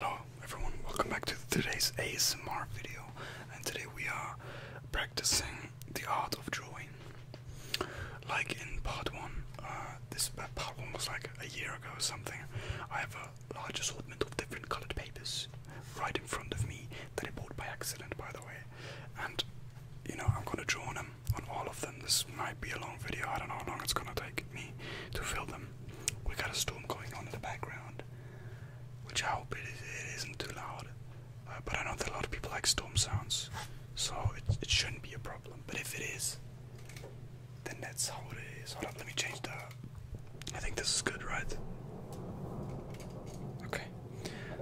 Hello everyone, welcome back to today's ASMR video and today we are practicing the art of drawing. Like in part 1, uh, this part 1 was like a year ago or something, I have a large assortment of different colored papers right in front of me that I bought by accident by the way and you know I'm gonna draw on all of them, this might be a long video, I don't know how long it's gonna take me to fill them we got a storm going on in the background, which I hope it, it isn't too loud. Uh, but I know that a lot of people like storm sounds, so it, shouldn't be a problem. But if it is, then that's how it is. Hold up, let me change the. I think this is good, right? Okay.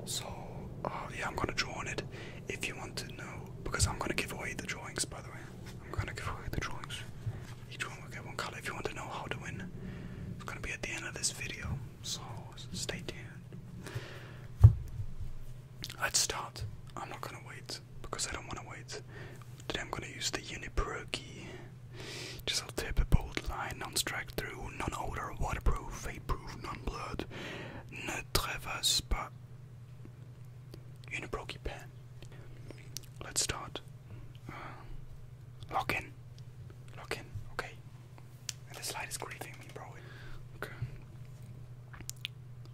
So, uh, yeah, I'm gonna draw on it. If you want to know, because I'm gonna give away the drawings, by the way. I'm gonna give away the drawings. Each one will get one color. If you want to know how to win, it's gonna be at the end of this video. So stay tuned. Let's start. I'm not gonna wait because I don't wanna wait. Today I'm gonna use the Pro key. Just a tip, a bold line, non-strike through, non-odor, waterproof, fade proof non-blood, ne traverse pas. Unipro key pen. Let's start. Lock in. Lock in. Okay. And this is grieving me, bro. Okay.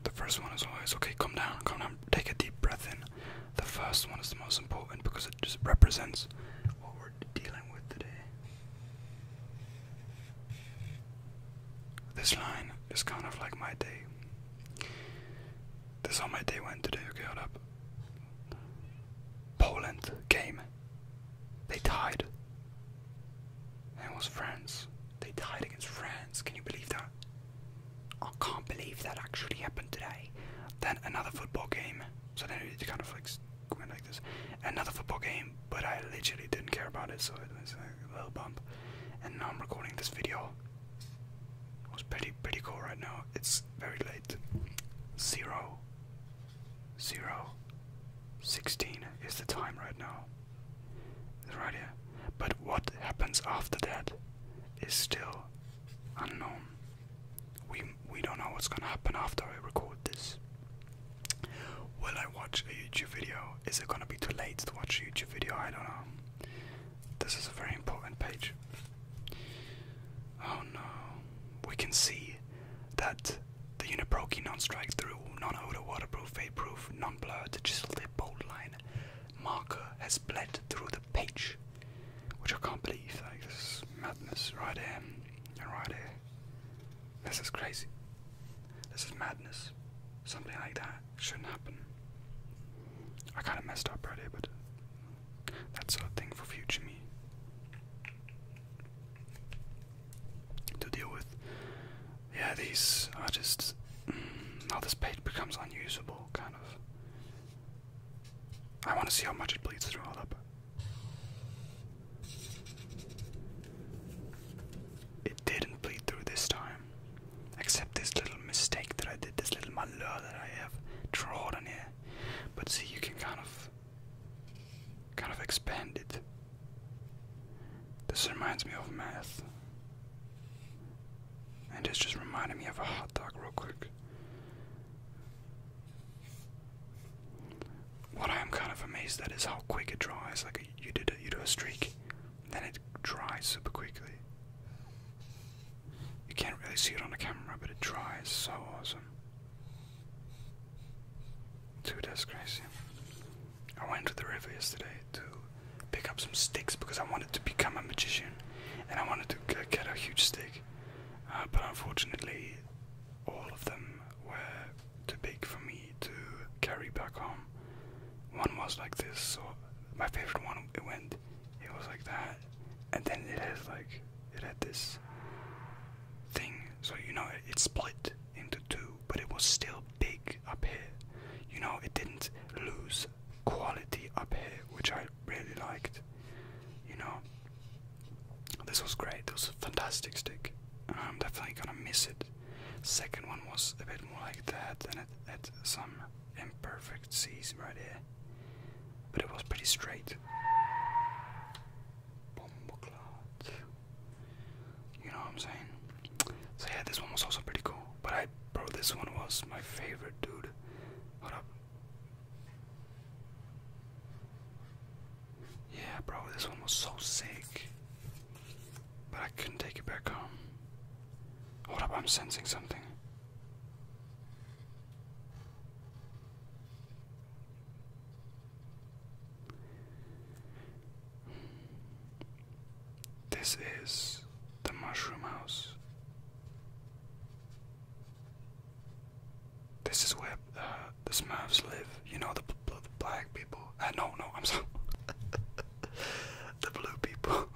The first one is always okay. Calm down. Calm down. Take a deep breath in. The first one is the most important because it just represents what we're dealing with today. This line is kind of like my day. This is how my day went today. Okay, hold up. Poland game. They tied. And it was France. They tied against France. Can you believe that? I can't believe that actually happened today. Then another football game. So then it kind of like went like this. Another football game, but I literally didn't care about it, so it was a little bump. And now I'm recording this video it pretty pretty cool right now. It's very late. Zero. Zero. Sixteen is the time right now. It's right here. But what happens after that is still unknown. We we don't know what's gonna happen after I record this. Will I watch a YouTube video? Is it gonna be too late to watch a YouTube video? I don't know. This is a very important page. Oh no. We can see that the Uniproki non-strike through, non-odor, waterproof, vape-proof, non-blurred, chiseled lip, bold line marker has bled through the page. Which I can't believe. this is madness right here right here. This is crazy. This is madness. Something like that shouldn't happen. I kind of messed up right here, but that's a thing for future me to deal with. Yeah, these are just. Now mm, this page becomes unusable, kind of. I want to see how much it bleeds through all up. It didn't bleed through this time. Except this little mistake that I did, this little malheur that I have drawn here. But see, you can kind of, kind of expand it. This reminds me of math. And it's just reminding me of a hot dog real quick. What I am kind of amazed at is how quick it dries. Like you did, you do a streak, then it dries super quickly. You can't really see it on the camera, but it dries so awesome. Too that's I went to the river yesterday to pick up some sticks because I wanted to become a magician and I wanted to get a huge stick. Uh, but unfortunately, all of them were too big for me to carry back home. One was like this, so my favorite one it went, it was like that, and then it had like it had this thing, so you know it, split into two, but it was still big up here. You know it didn't lose quality up here, which I really liked. You know, this was great. This was a fantastic stick. I'm definitely gonna miss it. Second one was a bit more like that, and it had some imperfect seams right here but it was pretty straight. Bomboclat. You know what I'm saying? So yeah, this one was also pretty cool. But I, bro, this one was my favorite, dude. Hold up. Yeah, bro, this one was so sick. But I couldn't take it back home. Hold up, I'm sensing something. This is the mushroom house. This is where uh, the Smurfs live. You know the, the black people. Uh, no, no, I'm sorry. the blue people.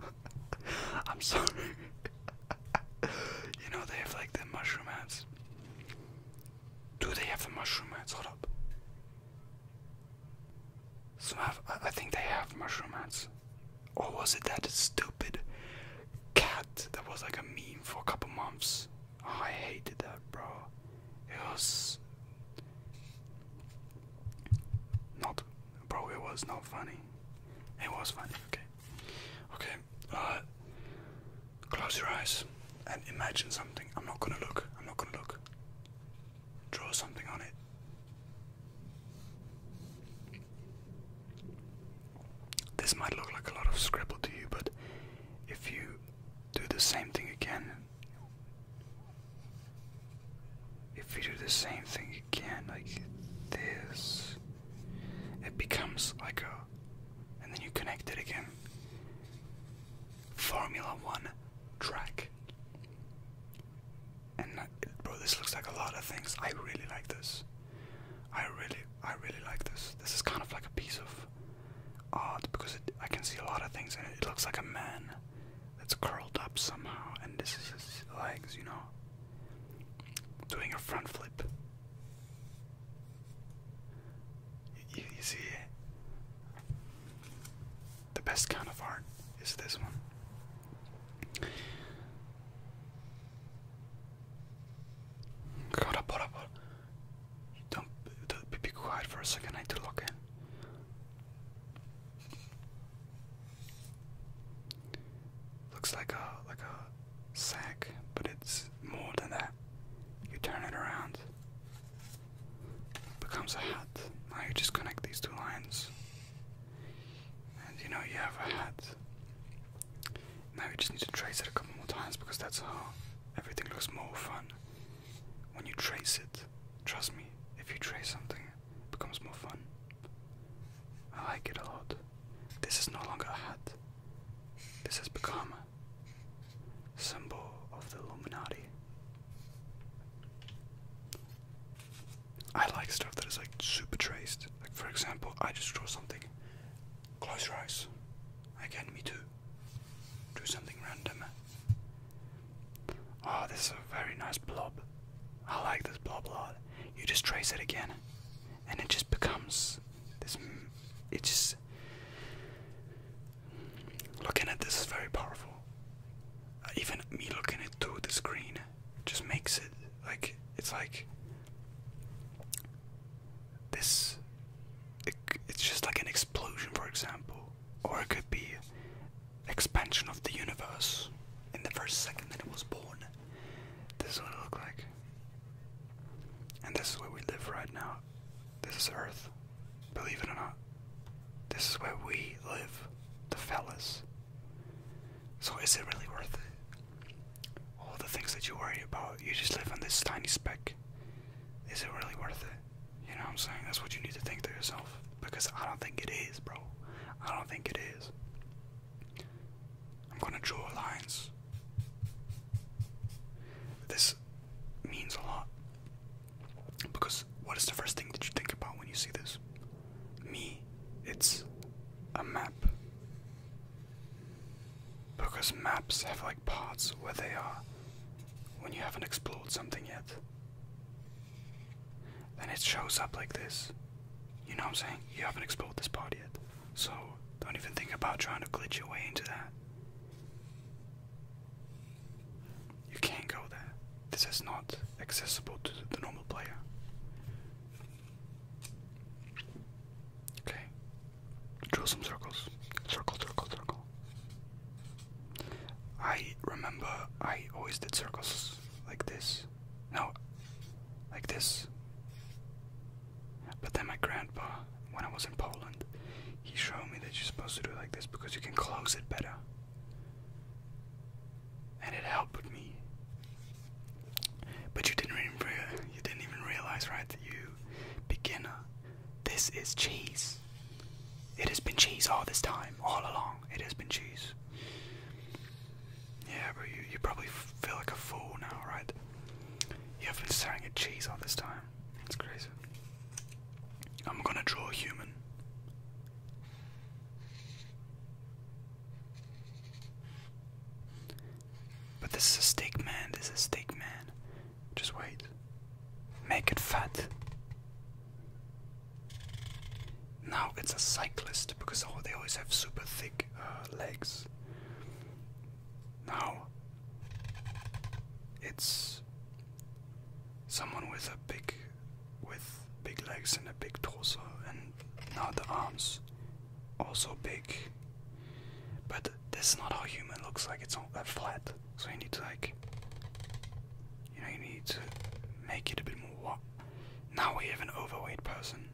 I'm sorry. you know they have like the mushroom hats. Do they have the mushroom hats? Hold up. Some I think they have mushroom hats. Or was it that stupid cat that was like a meme for a couple months? I hated that, bro. It was not, bro. It was not funny. It was funny. Okay. Okay, uh, close your eyes and imagine something. I'm not gonna look, I'm not gonna look. Draw something on it. This might look like a lot of scribble to you, but if you do the same thing again, if you do the same thing again, like this. It becomes like a. And then you connect it again. Formula One track. And uh, bro, this looks like a lot of things. I really like this. I really, I really like this. This is kind of like a piece of art because I can see a lot of things in it. It looks like a man that's curled up somehow, and this is his legs, you know doing a front flip. You, see, the best kind of art is this one. Don't be quiet for a second. I need to look in. Looks like a like a sack, but it's more than that. You turn it around, becomes a hat. Now you just connect these two lines, and you know you have a hat. Now you just need to trace it a couple more times because that's how everything looks more fun. When you trace it, trust me, if you trace something, it becomes more fun. I like it a lot. This is no longer a hat. This has become a symbol of the Illuminati. I like stuff that is like super traced. Like for example, I just draw something. Close your eyes. Again, me too. Do something random. Oh, this is a very nice blob. I like this blob a lot. You just trace it again and it just becomes this. It just looking at this is very powerful. Uh, even me looking at through the screen just makes it like it's like this. it's just like an explosion, for example, or it could be expansion of the universe in the first second that it was born. This is what it looked like. And this is where we live right now. This is Earth. Believe it or not. This is where we live. The fellas. So is it really worth it? All the things that you worry about, you just live on this tiny speck. Is it really worth it? You know what I'm saying? That's what you need to think to yourself. Because I don't think it is, bro. I don't think it is. I'm going to draw lines. This means a lot. Because what is the first thing that you think about when you see this? Me, it's a map. Because maps have like parts where they are when you haven't explored something yet. Then it shows up like this. You know what I'm saying? You haven't explored this part yet. So don't even think about trying to glitch your way into that. You can't go there. This is not accessible to the normal player. Okay. Draw some circles. Circle, circle, circle. I remember I always did circles like this no, like this. But then my grandpa, when I was in Poland, he showed me that you're supposed to do it like this because you can close it better. And it helped me. But you didn't even realize, right? You beginner. This is cheese. It has been cheese all this time, all along. It has been cheese. Yeah, but you, you probably feel like a fool now, right? You have been staring at cheese all this time. It's crazy. I'm gonna draw a human. But this is a steak man, this is a steak man. Just wait. Make it fat. Now it's a cyclist because oh, they always have super thick uh, legs. Now, it's someone with a big, with big legs and a big torso, and now the arms also big. But this is not how human looks like. It's all uh, flat, so you need to like, you know, you need to make it a bit more. Now we have an overweight person,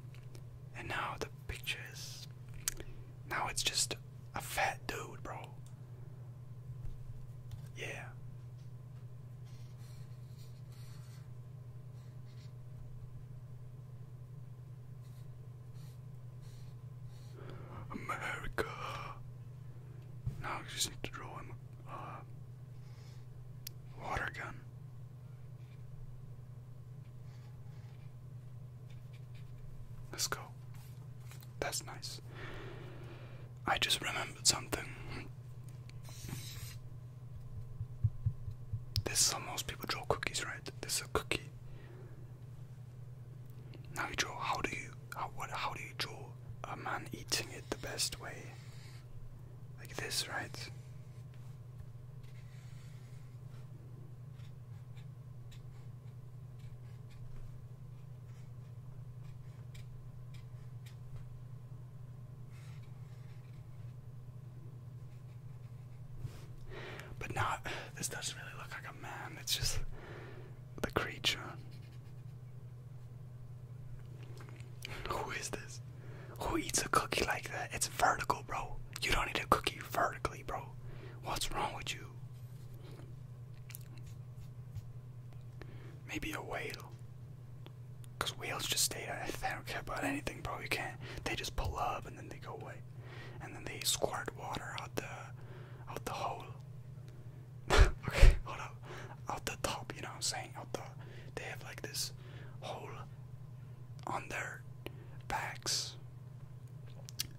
and now the pictures. Now it's just a fat dude, bro. Yeah. America. Now I just need to draw him a uh, water gun. Let's go. That's nice. I just remembered something. This is how most people draw cookies, right? This is a cookie. Now you draw. How do you? How what? How do you draw a man eating it the best way? Like this, right? But not, this doesn't really look like a man, it's just the creature. Who is this? Who eats a cookie like that? It's vertical, bro. You don't eat a cookie vertically, bro. What's wrong with you? Maybe a whale. Because whales just stay there. They don't care about anything, bro. You can't. They just pull up and then they go away. And then they squirt water out the out the hole. okay, hold up. Out the top, you know what I'm saying? Out the they have like this hole on their bags.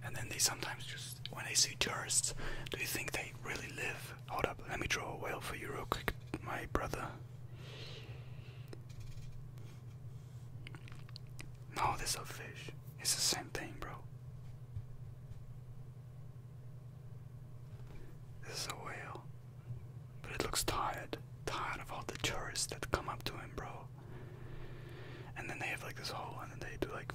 And then they sometimes just, when they see tourists, do you think they really live? Hold up, let me draw a whale for you real quick, my brother. No, this is a fish. It's the same thing, bro. This is a whale, but it looks tired tired of all the tourists that come up to him, bro. And then they have like this hole, and they do like,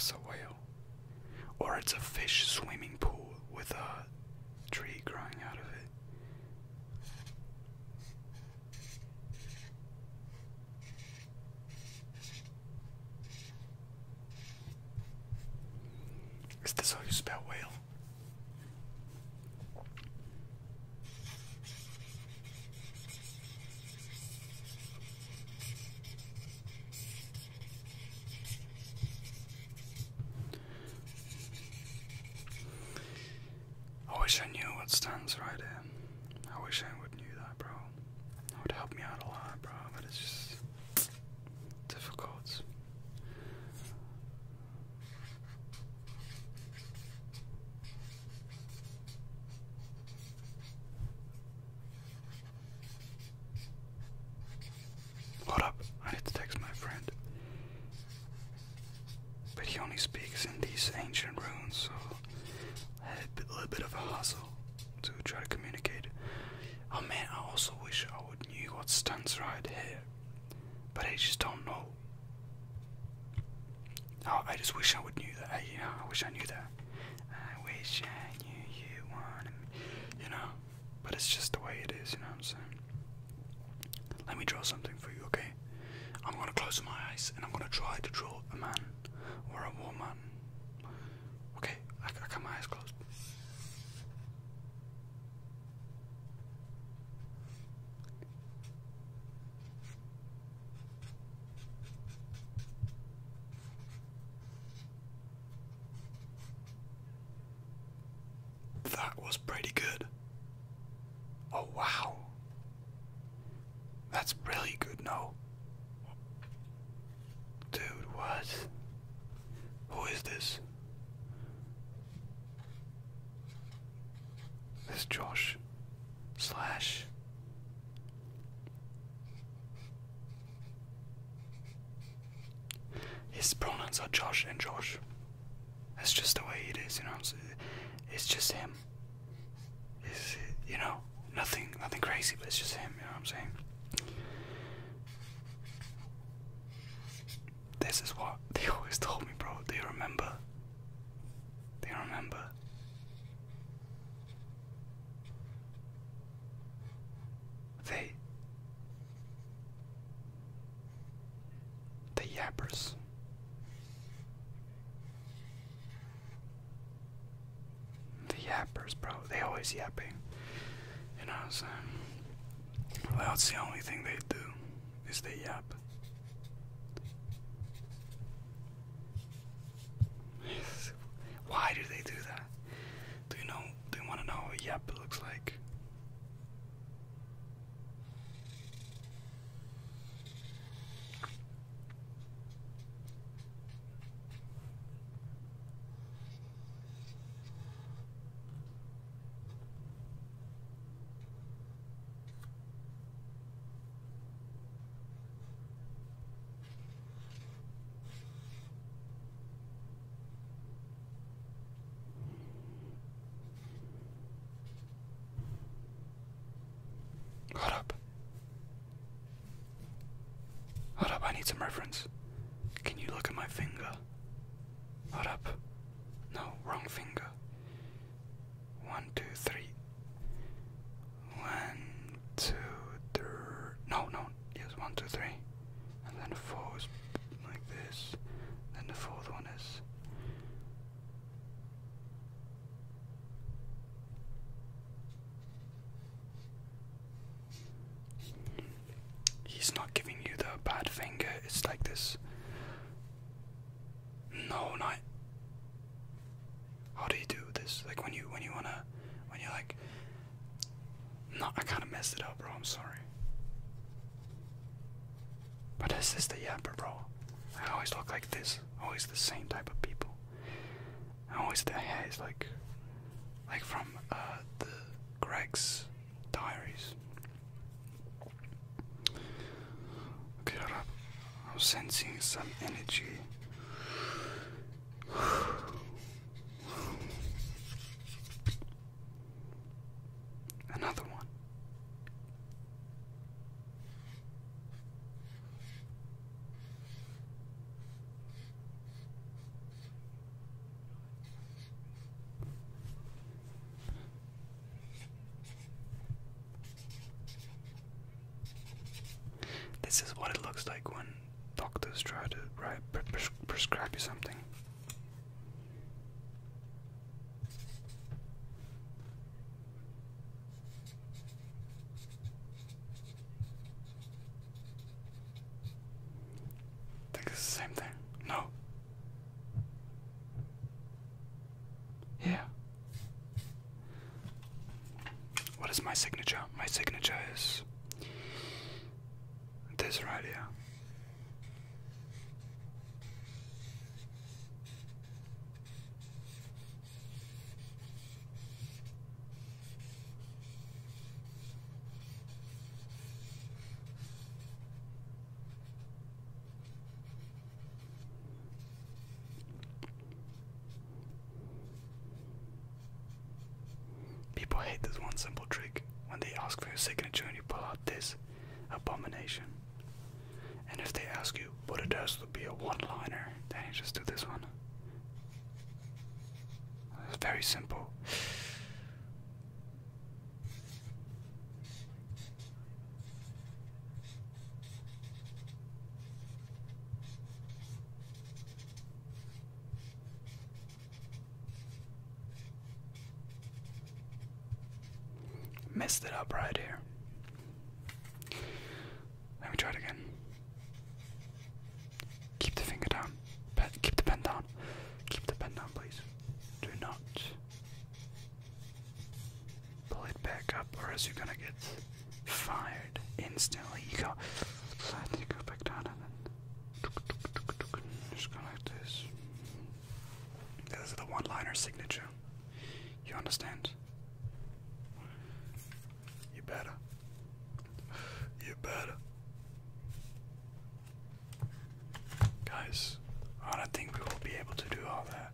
That's a whale. Or it's a fish swimming pool with a tree growing out of it. Is this how you spell whale? I wish I knew what stands right in. I wish I would knew that, bro. That would help me out a lot, bro, but it's just difficult. Hold up, I need to text my friend. But he only speaks in these ancient runes, so I had a, bit, little bit of a hustle to try to communicate. Oh man, I also wish I would knew what stands right here but I just don't know. Oh, I just wish I would knew that. I, I wish I knew that. I wish I knew you wanted You know, but it's just the way it is. You know what I'm saying? Let me draw something for you, okay? I'm gonna close my eyes and I'm gonna try to draw a man or a woman. Okay, I, I got my eyes closed. That was pretty good. Oh, wow. That's really good, no? Dude, what? Who is this? This Josh slash his pronouns are Josh and Josh. That's just the way it is, you know. It's, it's just him. It's, you know, nothing, nothing crazy, but it's just him. You know what I'm saying? This is what they always told me, bro. They remember. They remember. They. The yappers. The yappers, bro. They always yapping. You know what Well, that's the only thing they do is the yap. Why do they do that? Do you know? Do you want to know what yap looks like? Hold up. Hold up, I need some reference. Can you look at my finger? Hold up. No, wrong finger. One, two, three. One, two, three. No, no. Yes, one, two, three. And then four is like this. Then the fourth one is. He's not giving you the bad finger, it's like this no, not. How do you do this? Like when you when you wanna when you like. No, I kind of messed it up, bro. I'm sorry. But this is the yapper, bro. I always look like this. Always the same type of people. always the hair is like, like from uh, the Greg's diaries. Okay, I'm sensing some energy. Another one. This is what it looks like when doctors try to right, pres prescribe you something. think it's the same thing. No, yeah. What is my signature? My signature is this right here. People hate this one simple trick when they ask for your signature and you pull out this abomination. And if they ask you what it has to be a one liner, then you just do this one. It's very simple. Messed it up right here. Let me try it again. Keep the finger down. keep the pen down. Keep the pen down, please. Do not Pull it back up, or else you're gonna get fired instantly. You go, you go back down and then just go like this. This is the one-liner signature. You understand? You better. You better. Guys, I don't think we will be able to do all that.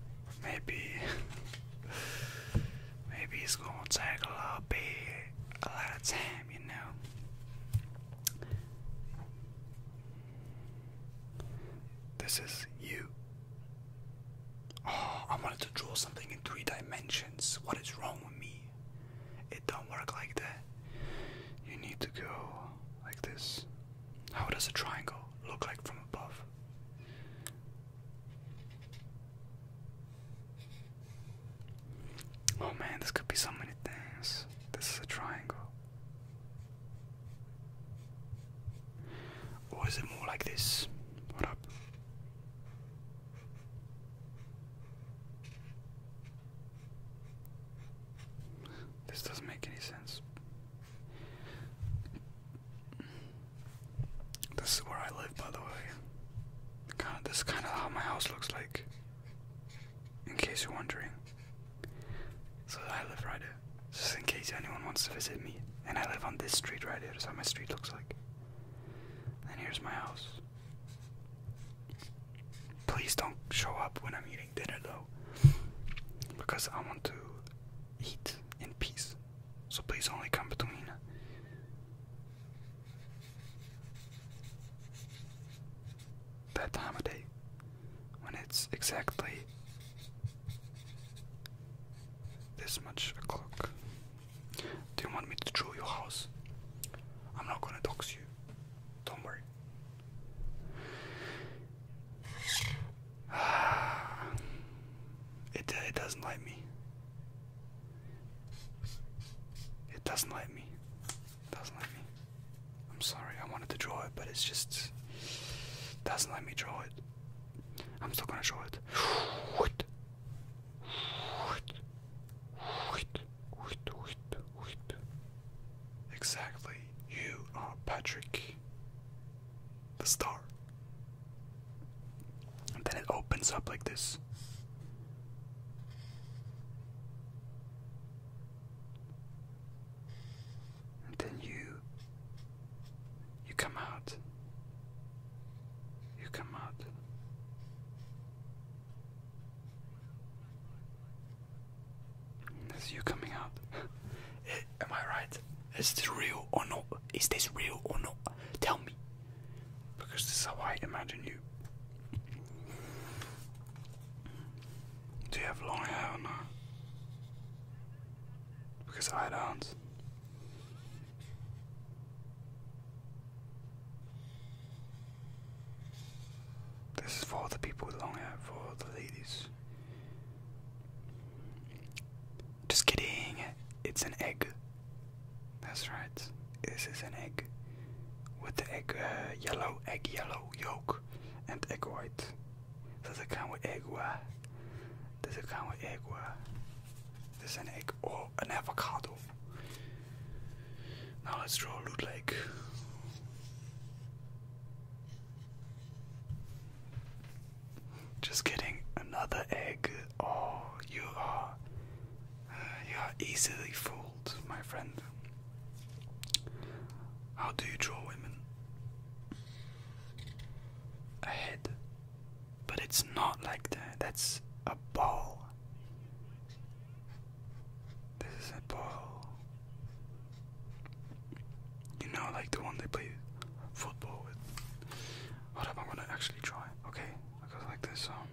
maybe, maybe it's gonna take a little a lot of time, you know. This is you. Oh, I wanted to draw something in three dimensions. What is wrong with me? It don't work like that. You need to go like this. How does a triangle look like from above? Oh man, this could be so many things. This is a triangle. Or is it more like this? What up? This doesn't make any sense. This is where I live, by the way. Kind of, this is kind of how my house looks like. In case you're wondering. So I live right here. Just in case anyone wants to visit me. And I live on this street right here. This is how my street looks like. And here's my house. Please don't show up when I'm eating dinner though. Because I want to eat in peace. So please only come between. That time of day when it's exactly this much o'clock. Do you want me to draw your house? I'm not gonna dox you. Don't worry. It, it doesn't like me. It doesn't like me. It doesn't like me. I'm sorry, I wanted to draw it, but it's just doesn't let me draw it. I'm still gonna draw it. Exactly. You are Patrick, the star. And then it opens up like this. And then you you come out. You come out. That's you coming out. Eh, am I right? Is this real or not? Is this real or not? Tell me. Because this is how I imagine you. Do you have long hair or not? Because I don't. This is for the people with long hair, for the ladies. Just kidding, it's an egg. That's right, this is an egg. With the egg, uh, yellow, egg yellow yolk, and egg white. Does it come with egg white? Does it come with egg white? This is an egg or an avocado. Now let's draw a loot just getting another egg. Oh, you are. Uh, you are easily fooled, my friend. How do you draw women? A head. But it's not like that, that's a ball. This is a ball. You know, like the one they play football with. Hold up, I'm gonna actually try. Okay, I go like this. Um.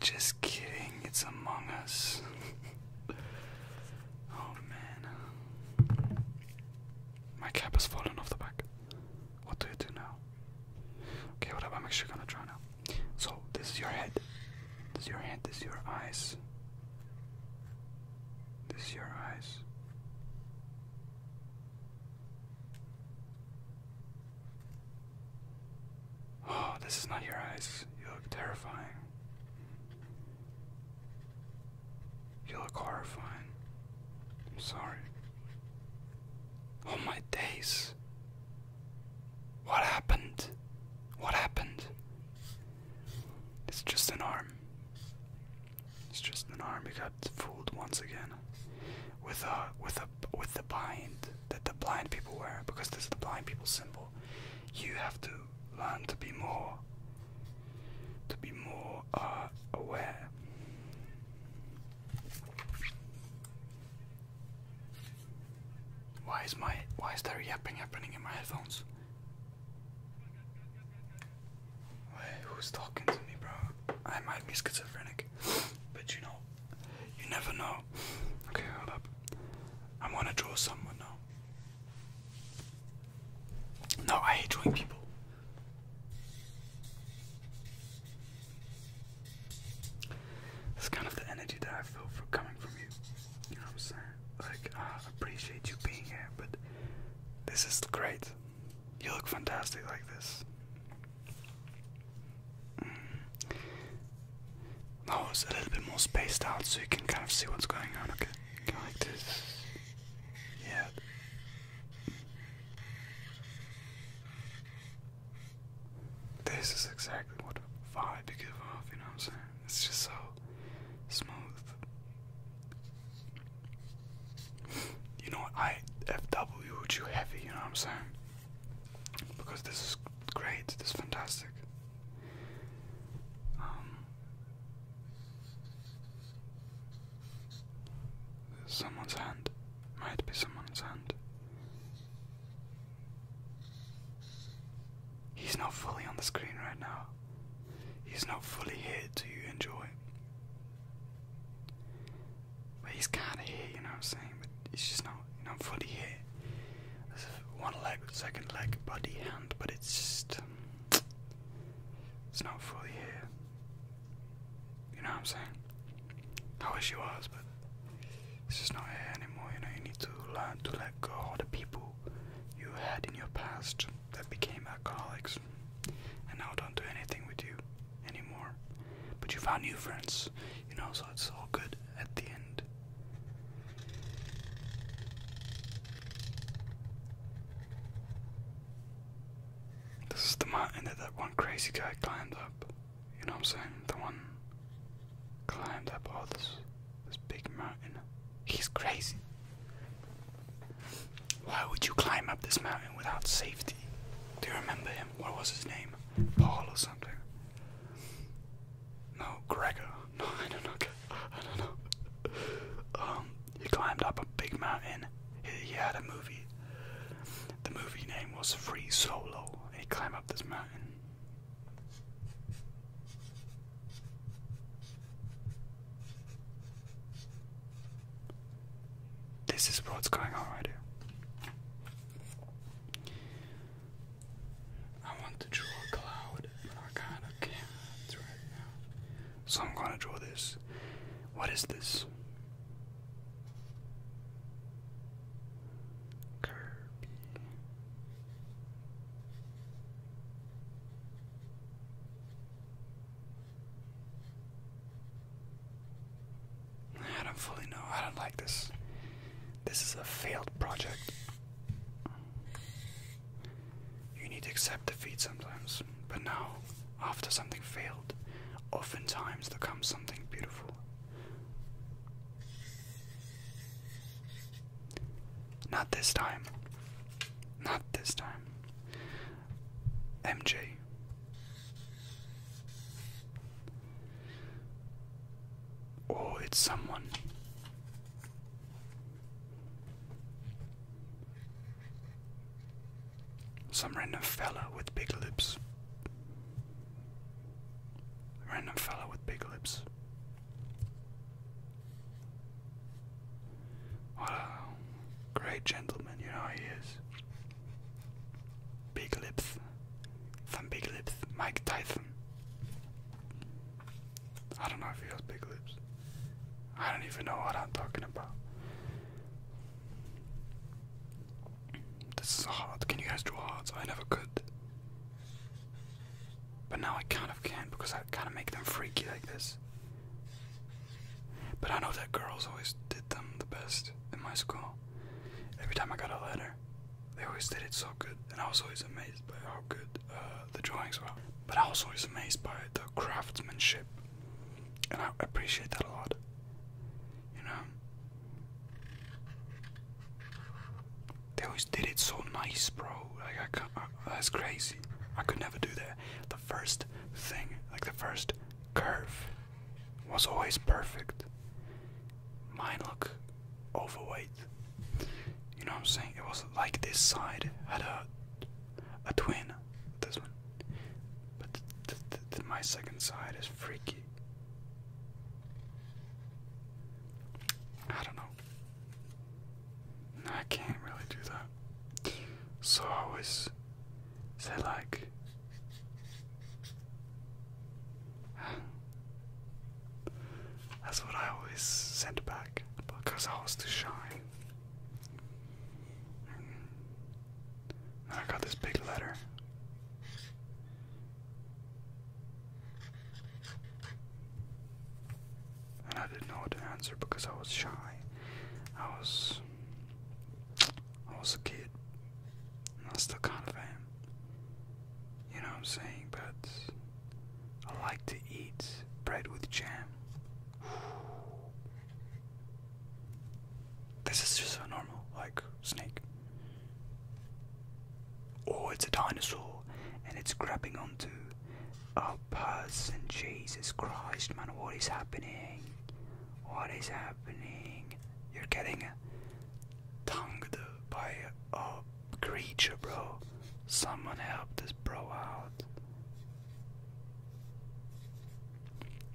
Just kidding, it's Among Us. oh man. My cap has fallen off the back. What do you do now? Okay, whatever. I'm actually gonna try now. So this is your head. This is your head. This is your eyes. This is your eyes. Oh, this is not your eyes. You look terrifying. You look horrifying. I'm sorry. Oh my days. What happened? What happened? It's just an arm. It's just an arm. We got fooled once again. With a with a with the bind that the blind people wear, because this is the blind people symbol. You have to learn to be more to be more uh, aware. Why is my why is there yapping happening in my headphones? Wait, who's talking to me, bro? I might be schizophrenic, but you know, you never know. Okay, hold up. I wanna draw someone now. No, I hate drawing people. That's kind of the energy that I feel for coming from you. You know what I'm saying? Like, I appreciate you being here, but this is great. You look fantastic like this. Mm. Now it's a little bit more spaced out so you can kind of see what's going on, okay? Go like this. Yeah. This is exactly what the vibe you give off, you know what I'm saying? It's just so smooth. You know I FW you heavy, you know what I'm saying? Because this is great, this is fantastic. Um, someone's hand. Might be someone's hand. He's not fully on the screen right now. He's not fully here Do you enjoy. But he's kinda here, you know what I'm saying? But he's just not you fully here. There's one leg, second leg, body, hand, but it's just um, it's not fully here. You know what I'm saying? I wish he was, but it's just not here anymore. You know, you need to learn to let go of the people you had in your past that became alcoholics and now don't do anything with you anymore. But you found new friends, you know, so it's all good at the end. This is the mountain that that one crazy guy climbed up. You know what I'm saying? The one climbed up all this this big mountain. He's crazy. Why would you climb up this mountain without safety? Do you remember him? What was his name? Paul or something? No, Gregor. No, I don't know. I don't know. Um, he climbed up a big mountain. he had a movie. The movie name was Free Solo, and he climbed up this mountain. This is what's going on right here. I want to draw a cloud, but I got a camera right now. So I'm gonna draw this. What is this? Kirby. I don't fully know. I don't like this. This is a failed project. You need to accept defeat sometimes, but now, after something failed, oftentimes there comes something beautiful. Not this time. Not this time. MJ. Oh, it's someone. Some random fella with big lips. Random fella with big lips. What a great gentleman, you know he is. Big lips. Some big lips. Mike Tyson. I don't know if he has big lips. I don't even know what I'm talking about. This is hard. Can you guys draw hearts? I never could. But now I kind of can because I kind of make them freaky like this. But I know that girls always did them the best in my school. Every time I got a letter, they always did it so good, and I was always amazed by how good uh, the drawings were. But I was always amazed by the craftsmanship, and I appreciate that a lot you know. They always did it so nice, bro. Like I, can't, that's crazy. I could never do that. The first thing, like the first curve, was always perfect. Mine look overweight. You know what I'm saying? It was like this side had a a twin, this one. But my second side is freaky. I don't know. I can't really do that. So I always say like that's what I always sent back because I was too shy. I got this big letter. And I didn't know what to answer because I was shy. I was I was a kid. And I still kind of am. You know what I'm saying? But I like to eat bread with jam. This is just a normal, like, snake. Oh, it's a dinosaur and it's grabbing onto a person. Jesus Christ, man, what is happening? What is happening? You're getting tongued by a creature, bro. Someone help this bro out.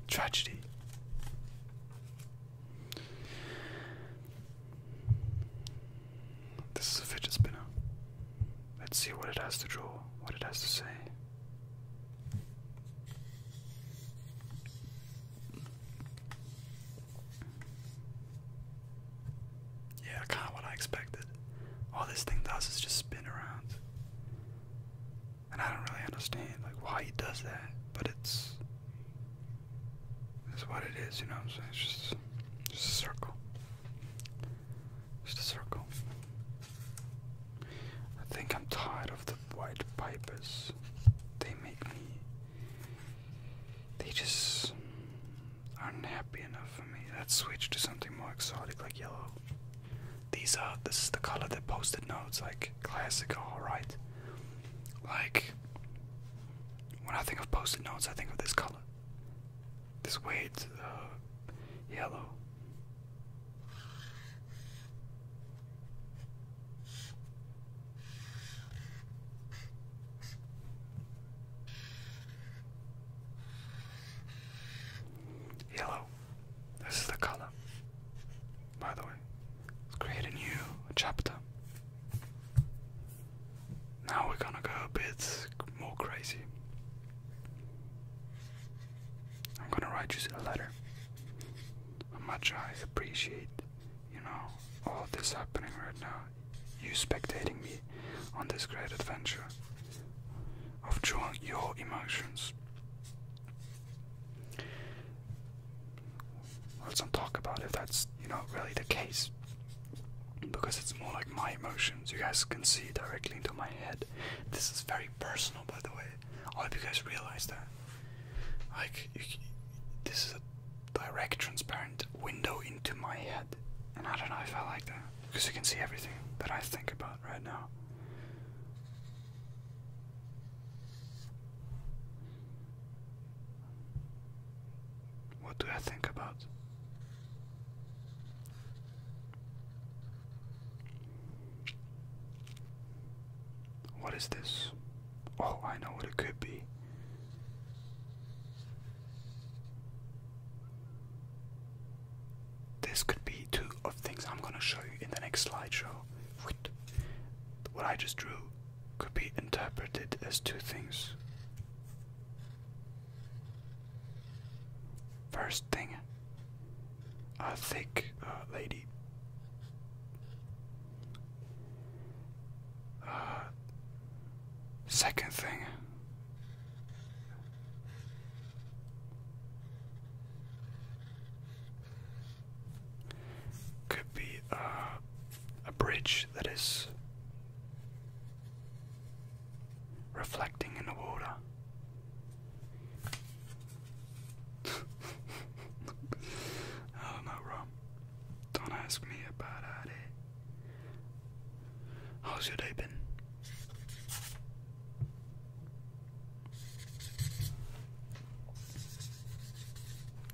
Tragedy. This is a fidget spinner. Let's see what it has to draw, what it has to say. Yeah, kind of what I expected. All this thing does is just spin around. And I don't really understand like why he does that, but it's that's what it is, you know It's just, just a circle. Just a circle. I think I'm tired of the white pipers. They make me. They just aren't happy enough for me. Let's switch to something more exotic like yellow. These are. This is the color that posted notes like classic. alright? Like, when I think of post-it notes, I think of this color. This weird uh, yellow. Yellow. This is the color. By the way, let's create a new chapter. Now we're gonna go a bit more crazy. I'm gonna write you a letter. How much I appreciate, you know, all this happening right now. You spectating me on this great adventure of drawing your emotions let's not talk about if that's you know really the case because it's more like my emotions you guys can see directly into my head this is very personal by the way i hope you guys realize that like you, this is a direct transparent window into my head and i don't know if i like that because you can see everything that i think about right now what do I think about? What is this? Oh, I know what it could be. This could be two of things I'm gonna show you in the next slideshow. What I just drew could be interpreted as two things. First thing, a thick uh, lady. Uh, second thing, could be uh, a bridge that is reflecting in the water. oh no, Rob. Don't ask me about it. How's your day been?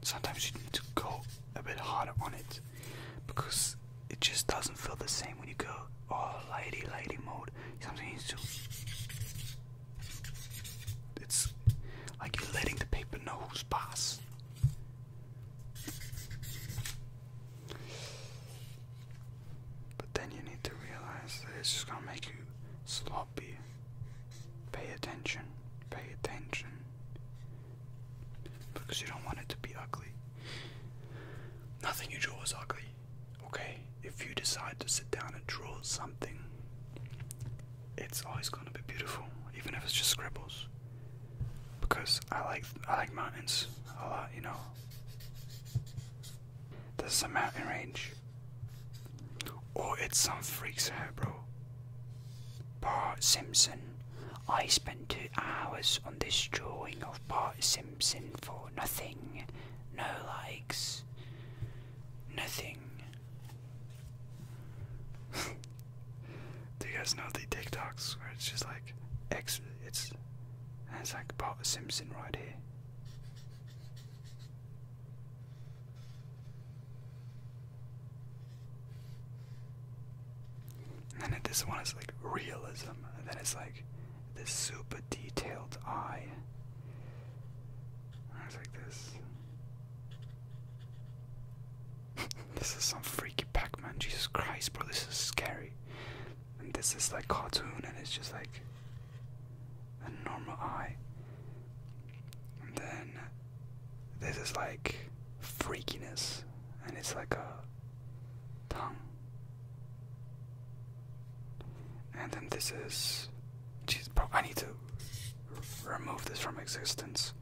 Sometimes you need to go a bit harder on it because it just doesn't feel the same when you go all oh, lighty lady mode. Something needs to It's like you're letting the paper know who's boss. But then you need to realize that it's just gonna make you slow hobby. Pay attention. Pay attention. Because you don't want it to be ugly. Nothing you draw is ugly, okay? If you decide to sit down and draw something, it's always gonna be beautiful, even if it's just scribbles. Because I like I like mountains a lot, you know. This is a mountain range. Or oh, it's some freak's hair, bro. Bart Simpson. I spent two hours on this drawing of Bart Simpson for nothing. No likes. Nothing. Do you guys know the TikToks where it's just like X it's it's like Bart Simpson right here. And then this one is like realism, and then it's like this super detailed eye. it's like this. this is some freaky Pac-Man. Jesus Christ, bro, this is scary. And this is like cartoon, and it's just like a normal eye. And then this is like freakiness and it's like a tongue and then this is jeez bro i need to remove this from existence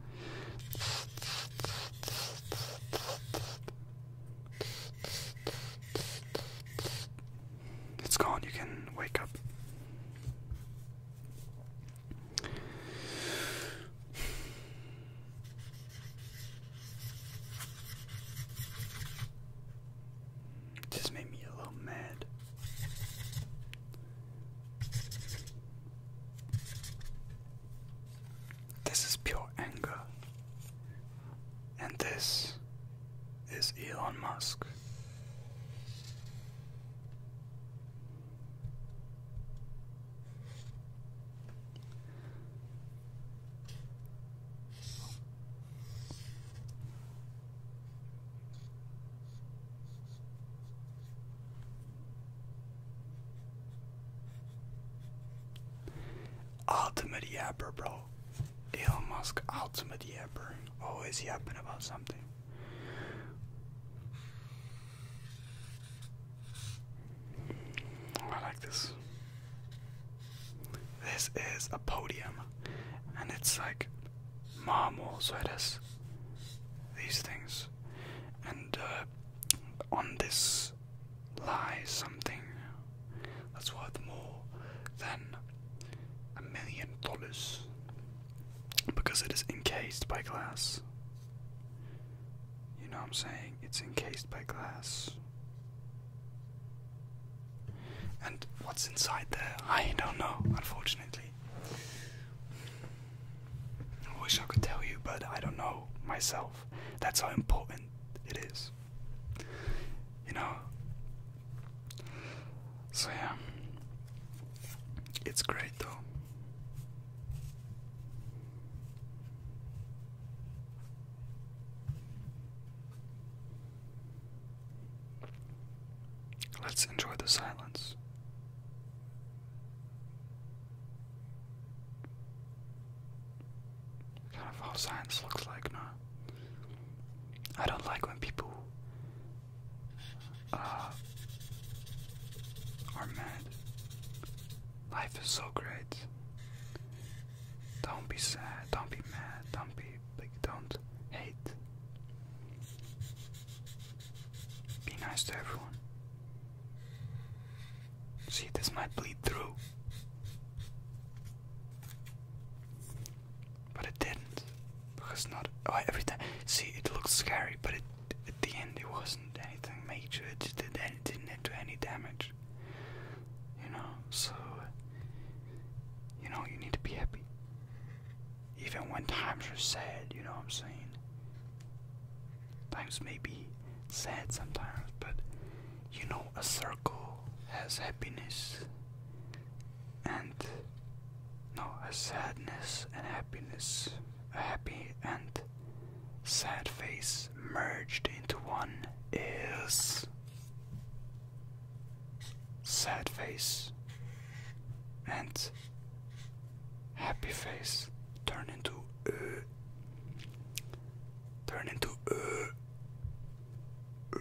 it's gone you can wake up just made me a little mad. This is pure anger. And this is Elon Musk. Ultimate yapper, bro. Elon Musk, ultimate yapper. Always yapping about something. Oh, I like this. This is a podium, and it's like marble, so these things, and uh, on this lies something that's worth more than a million dollars because it is encased by glass. You know what I'm saying? It's encased by glass. And what's inside there? I don't know, unfortunately. I wish I could tell you, but I don't know myself. That's how important it is. You know, so yeah, it's great though. Let's enjoy the silence. Kind of how science looks like now. I don't like when people uh, ah. are mad. Life is so great. Don't be sad. Don't be mad. Don't be like. Don't hate. Be nice to everyone. See, this might bleed through. But it didn't. Because not. Oh, every time. See, it looks scary, but it at the end it wasn't anything major, it did, it didn't do any damage. You know, so, you know, you need to be happy. Even when times are sad, you know what I'm saying? Times may be sad sometimes, but you know, a circle has happiness and no, a sadness and happiness, a happy and sad face merged into one is sad face and happy face turn into uh, turn into uh, uh,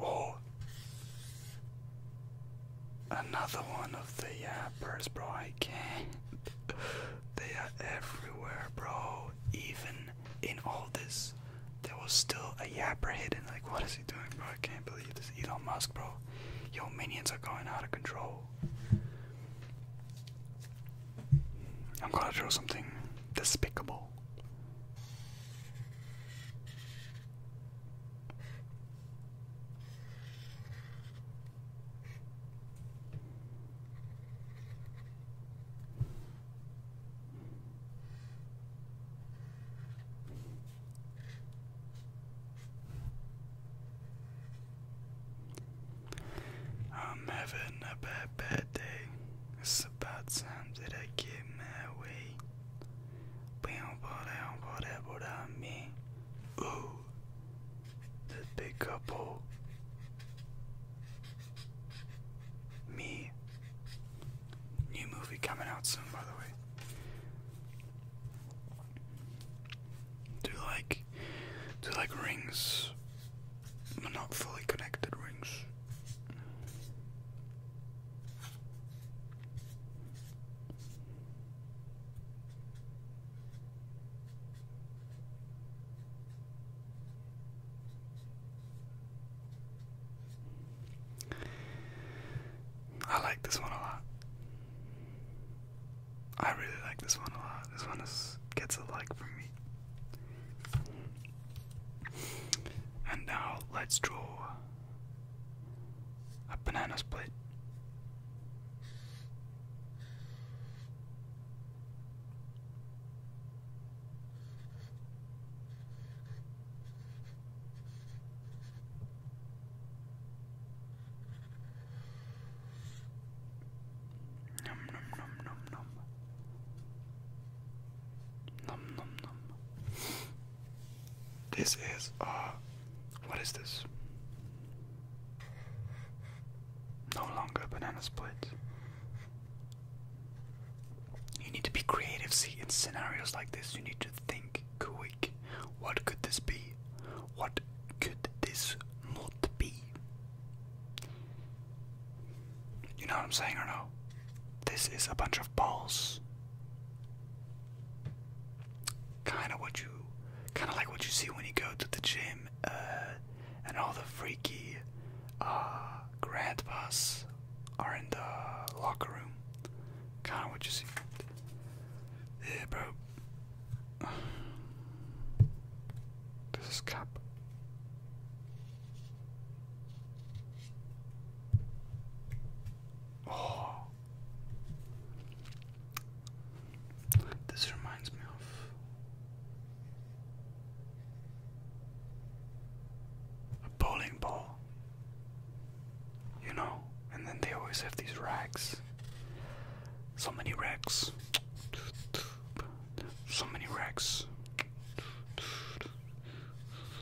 oh Another one of the yappers, bro. I can't. They are everywhere, bro. Even in all this, there was still a yapper hidden. Like, what is he doing, bro? I can't believe this. Elon Musk, bro. Your minions are going out of control. I'm gonna draw something despicable. I'm having a bad, bad day. It's about time that I get my way. Ooh, the big couple. Me. New movie coming out soon, by the way. Do like, do like rings? But not fully connected rings. I like this one a lot. I really like this one a lot. This one gets a like from me. And now let's draw a banana split. Nom nom nom nom nom. Nom nom nom. This is, a. Uh, what is this? No longer banana split. You need to be creative, see, in scenarios like this, you need to think quick. What could this be? What could this not be? You know what I'm saying or no? This is a bunch of balls kind of what you, kind of like what you see when you go to the gym, uh, and all the freaky uh, grandpas are in the locker room. Kind of what you see. Yeah, bro. This is Oh, this reminds me of. A bowling ball, you know, and then they always have these racks. So many racks, so many racks,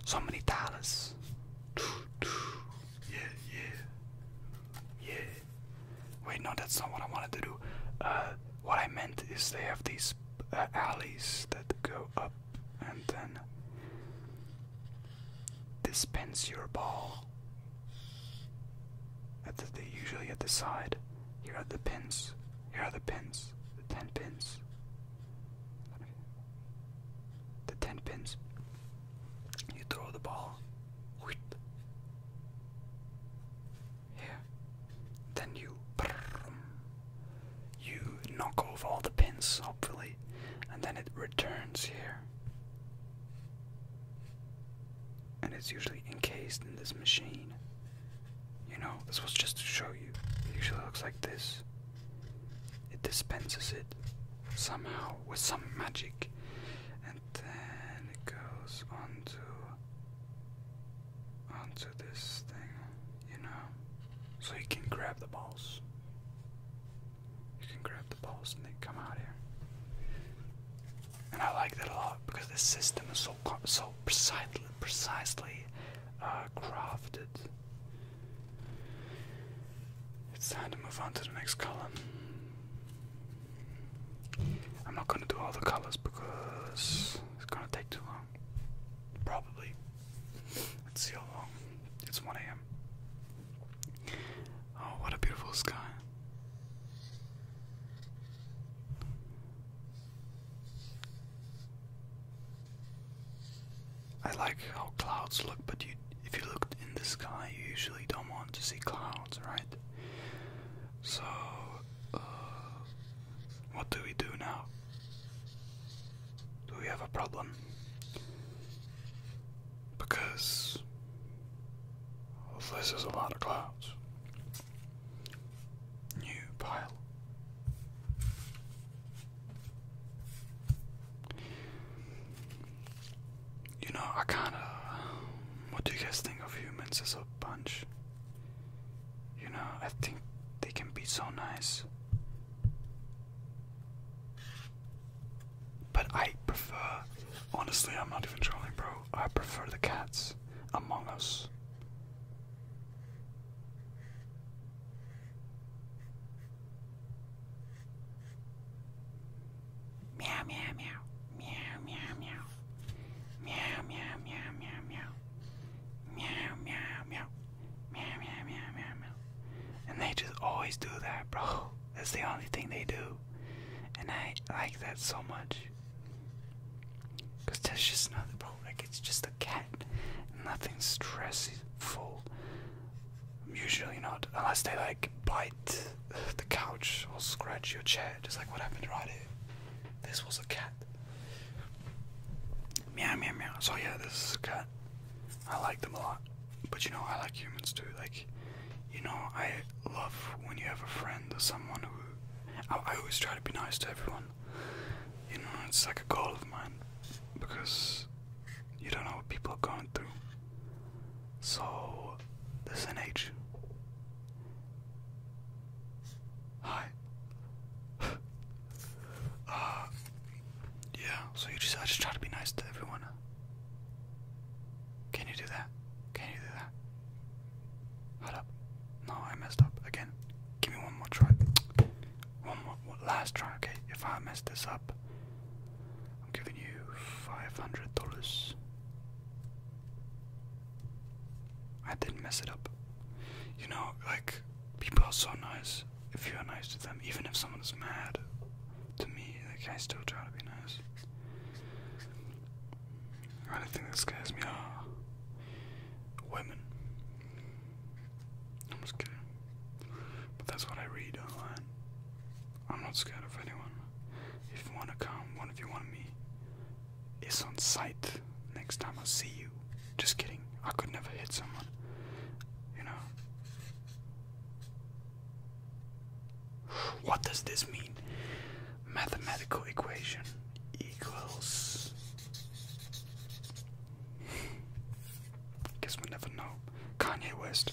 so many dollars, yeah, yeah, yeah. Wait, no, that's not what I wanted to do. Uh, what I meant is they have these uh, alleys that go up and then dispense your ball. At the, they usually at the side. Here are the pins. Here are the pins. The ten pins. The ten pins. You throw the ball. Here. Then you. You knock over all the pins, hopefully, and then it returns here. And it's usually encased in this machine. You know, this was just to show you. It usually looks like this. It dispenses it somehow with some magic. And then it goes onto onto this thing, you know. So you can grab the balls. You can grab the balls and they come out here. And I like that a lot because this system is so so precisely precisely uh, crafted. It's time to move on to the next column. I'm not going to do all the colors because it's going to take too long. Probably. Let's see how long. It's 1 a.m. Oh, what a beautiful sky. I like how clouds look, but you if you look in the sky, you usually don't want to see clouds, right? So, uh, what do we do now? Do we have a problem? Because this is a lot of clouds. New pile. You know, I kind of. What do you guys think of humans as a bunch? You know, I think they can be so nice. But I prefer. Honestly, I'm not even trolling, bro. I prefer the cats among us. Meow meow meow. Meow meow meow. Meow meow meow meow meow. Meow meow meow. Meow meow meow meow meow. And they just always do that, bro. That's the only thing they do. And I like that so much. Cause that's just nothing, bro. Like it's just a cat. Nothing stressful Usually not, unless they like bite the couch or scratch your chair, just like what happened right here. This was a cat. Meow meow meow. So yeah, this is a cat. I like them a lot, but you know I like humans too. Like, you know I love when you have a friend or someone who. I, always try to be nice to everyone. You know, it's like a goal of mine because you don't know what people are going through. So, this is Hi. uh, yeah. So you just, I just try to be nice to everyone. Can you do that? Can you do that? Hold up. No, I messed up again. Give me one more try. One more, last try. Okay, if I mess this up. I'm giving you $500. I didn't mess it up. You know, like, people are so nice if you're nice to them, even if someone is mad to me, like, I still try to be nice. I don't think that scares me are women. I'm just kidding. But that's what I read online. I'm not scared of anyone. If you wanna come, one of you want me, it's on sight. Next time I see you. Just kidding. I could never hit someone. You know. What does this mean? Mathematical equation equals. Guess we'll never know. Kanye West.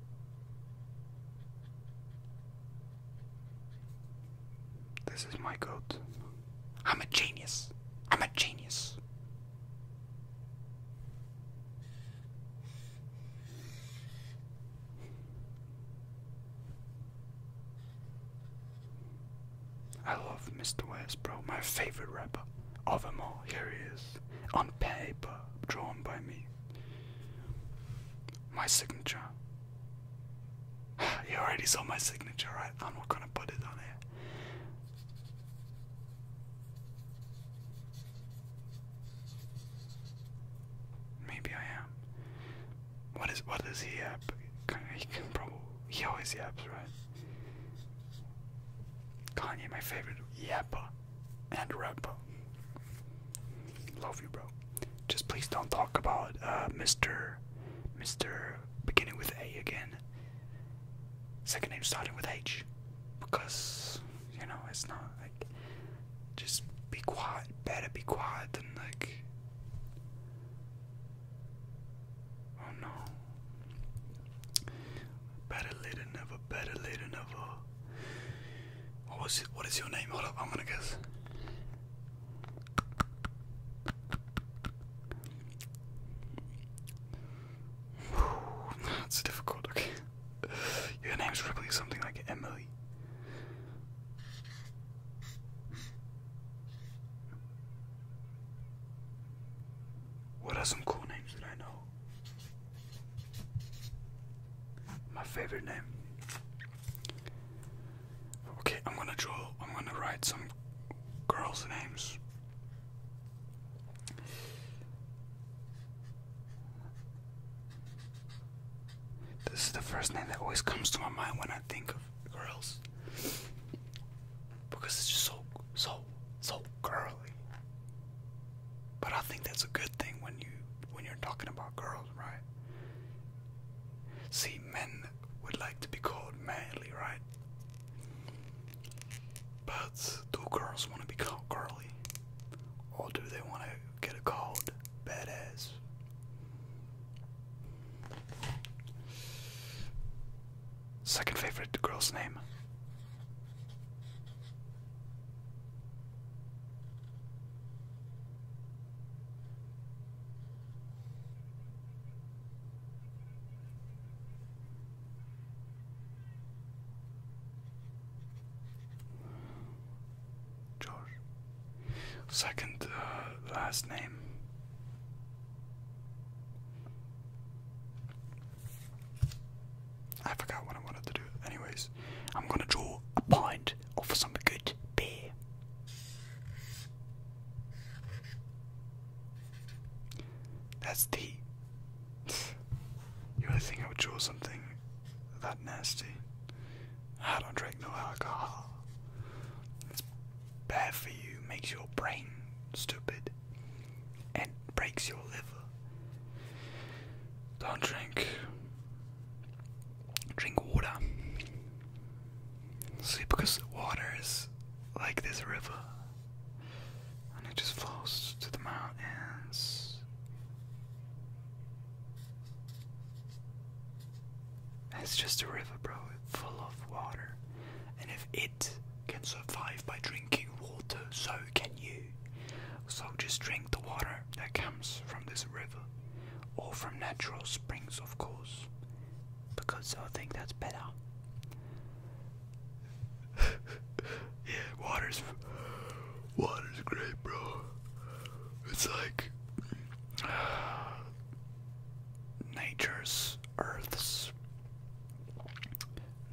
This is my goat. I'm a genius. I'm a genius. I love Mr. West, my favorite rapper of them all. Here he is, on paper, drawn by me. My signature. You already saw my signature, right? I'm not gonna put it on here. Maybe I am. What is what he up? he can probably he always yaps, right? Kanye, my favorite yapper and rapper. Love you, bro. Just please don't talk about uh, Mr. Mr. beginning with A again. Second name starting with H. Because, you know, it's not like. Just be quiet. Better be quiet than like. Oh no. Better later, never. Better later, never. What was What is your name? Hold up, I'm gonna guess. That's difficult. Okay, your name's probably something like Emily. What are some cool names that I know? My favorite name. Okay, I'm gonna draw, I'm gonna write some girls' names. This is the first name that always comes to my mind when I think of girls. Because it's just so, so, so girly. But I think that's a good thing when you when you're talking about girls, right? See, men would like to be called manly, right? But do girls want to be called girly? Or do they want to get called badass? Second favorite girl's name George. Second uh, last name. I forgot what I wanted to do. Anyways, I'm gonna draw a pint or some good beer. That's the. You really think I would draw something that nasty? I don't drink no alcohol. It's bad for you, makes your brain stupid, and breaks your liver. Don't drink drink water. See, because water is like this river, and it just flows to the mountains. It's just a river, bro, full of water. And if it can survive by drinking water, so can you. So just drink the water that comes from this river or from natural springs, of course, because I think that's better. yeah, water's water's great, bro. It's like nature's earth's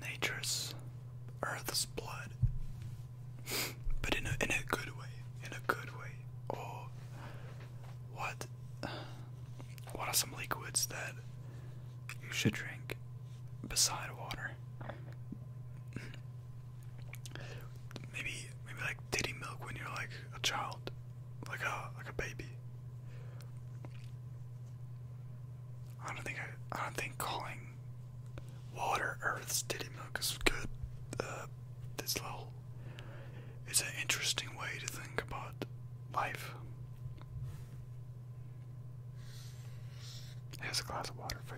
nature's earth's blood but in a in a good way, in a good way. Or what? What are some liquids that you should drink beside water? Maybe maybe like titty milk when you're like a child, like a like a baby. I don't think I, I don't think calling water Earth's titty milk is good uh, this little it's an interesting way to think about life. Here's a glass of water for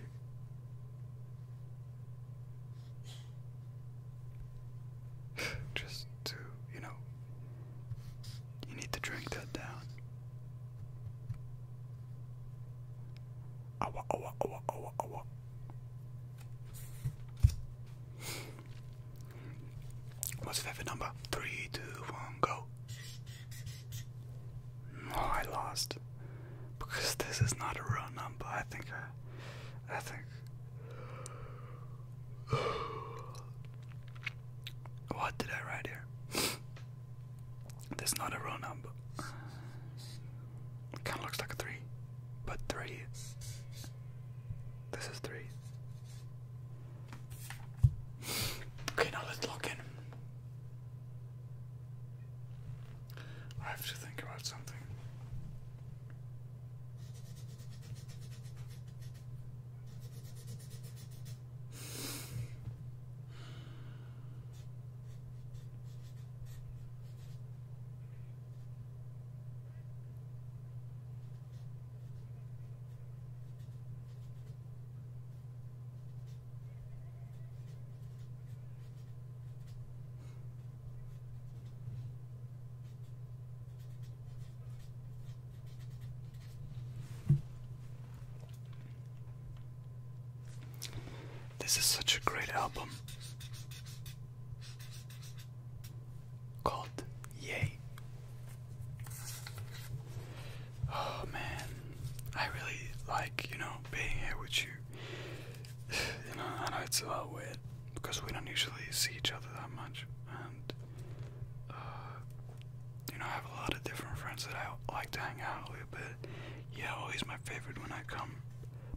you. Just to, you know, you need to drink that down. What's the favorite number? Three, two, one, go. No, oh, I lost because this is not a real number. I think I, think. What did I write here? That's not a real number. Kind of looks like a three, but three. This is three. Okay, now let's lock in. I have to think about something. This is such a great album called Yay. Oh man, I really like, you know, being here with you. You know, I know it's a little weird because we don't usually see each other that much, and uh, you know, I have a lot of different friends that I like to hang out with, but yeah, always my favorite when I come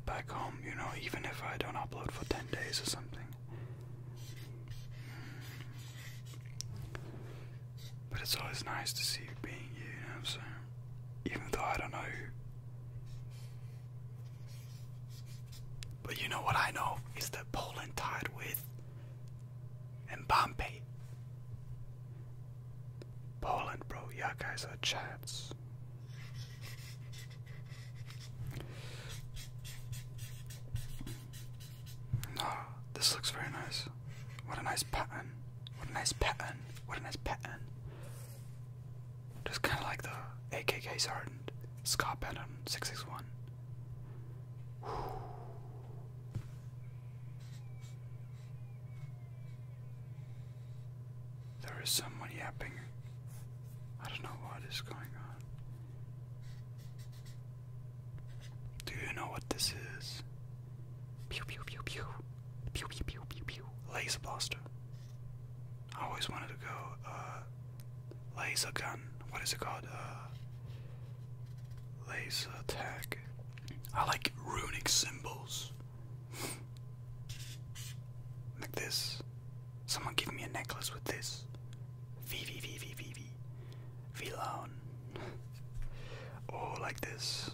back home, you know, even if I don't upload for 10 days or something. But it's always nice to see you being you, you know what Even though I don't know you. But you know what I know is that Poland tied with Mbappe. Poland, bro. Yeah, guys are chats. Oh, this looks very nice. What a nice pattern. What a nice pattern. What a nice pattern. Just kind of like the AKK Sergeant Scar pattern 661. There is someone yapping. I don't know what is going on. Do you know what this is? Pew pew pew pew. Pew pew pew pew pew. Laser blaster. I always wanted to go, uh, laser gun. What is it called? Uh, laser tag. I like runic symbols. Like this. Someone give me a necklace with this. V V V V V oh, like this.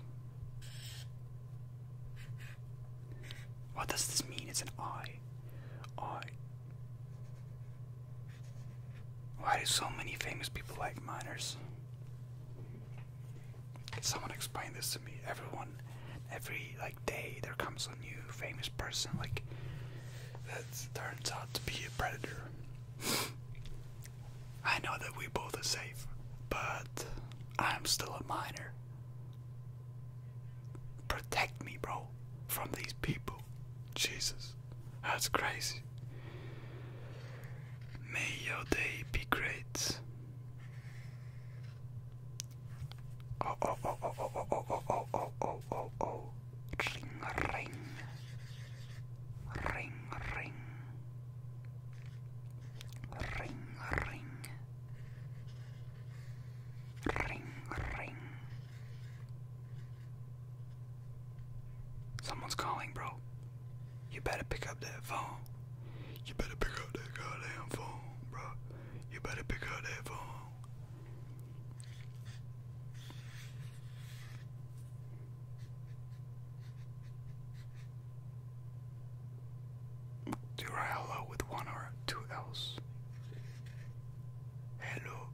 What does this mean? It's an eye. I. Why do so many famous people like miners? someone explain this to me? Everyone, every like day there comes a new famous person like that turns out to be a predator. I know that we both are safe, but I'm still a minor. Protect me, bro, from these people. Jesus, that's crazy. May your day be great. Oh oh oh oh oh oh oh oh oh oh oh oh oh Ring ring Ring ring Ring ring Ring ring Someone's calling bro You better pick up that phone You better pick up that goddamn phone bro you better pick up that phone. Do you hello with one or two L's? Hello.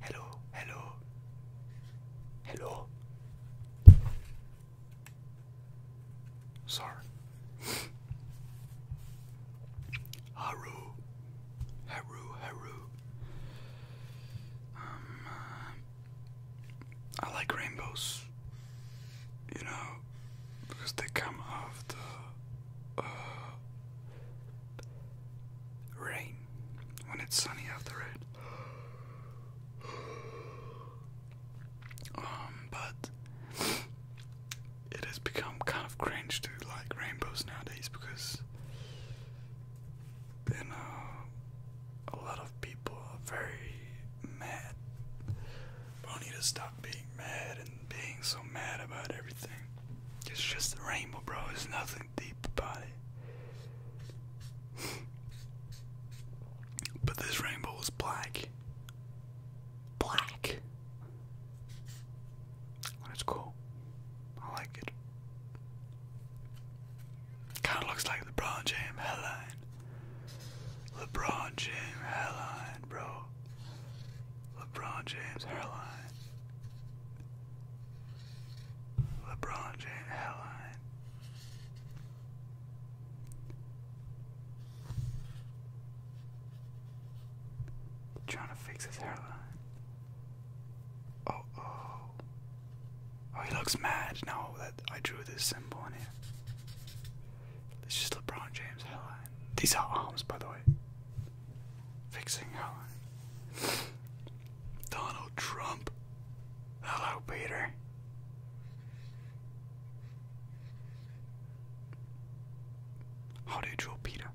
Hello. Hello. Hello. Sorry. Haru. Haru, Haru. Um, uh, I like rainbows, you know, because they come out uh, rain when it's sunny after it. Um, but it has become kind of cringe to like rainbows nowadays because then uh, a lot of people are very mad. But need to stop being mad and being so mad about everything. It's just a rainbow, bro. There's nothing deep about it. but this rainbow is black. Black. And it's cool. I like it. Kinda looks like LeBron James headline. LeBron James hairline, bro. LeBron James hairline. LeBron James hairline. Trying to fix his hairline. Oh, oh. Oh, he looks mad. No, that I drew this symbol in here. It's just LeBron James hairline. These are arms, by the way. Fixing hairline. Donald Trump. Hello, Peter. How do you draw Peter?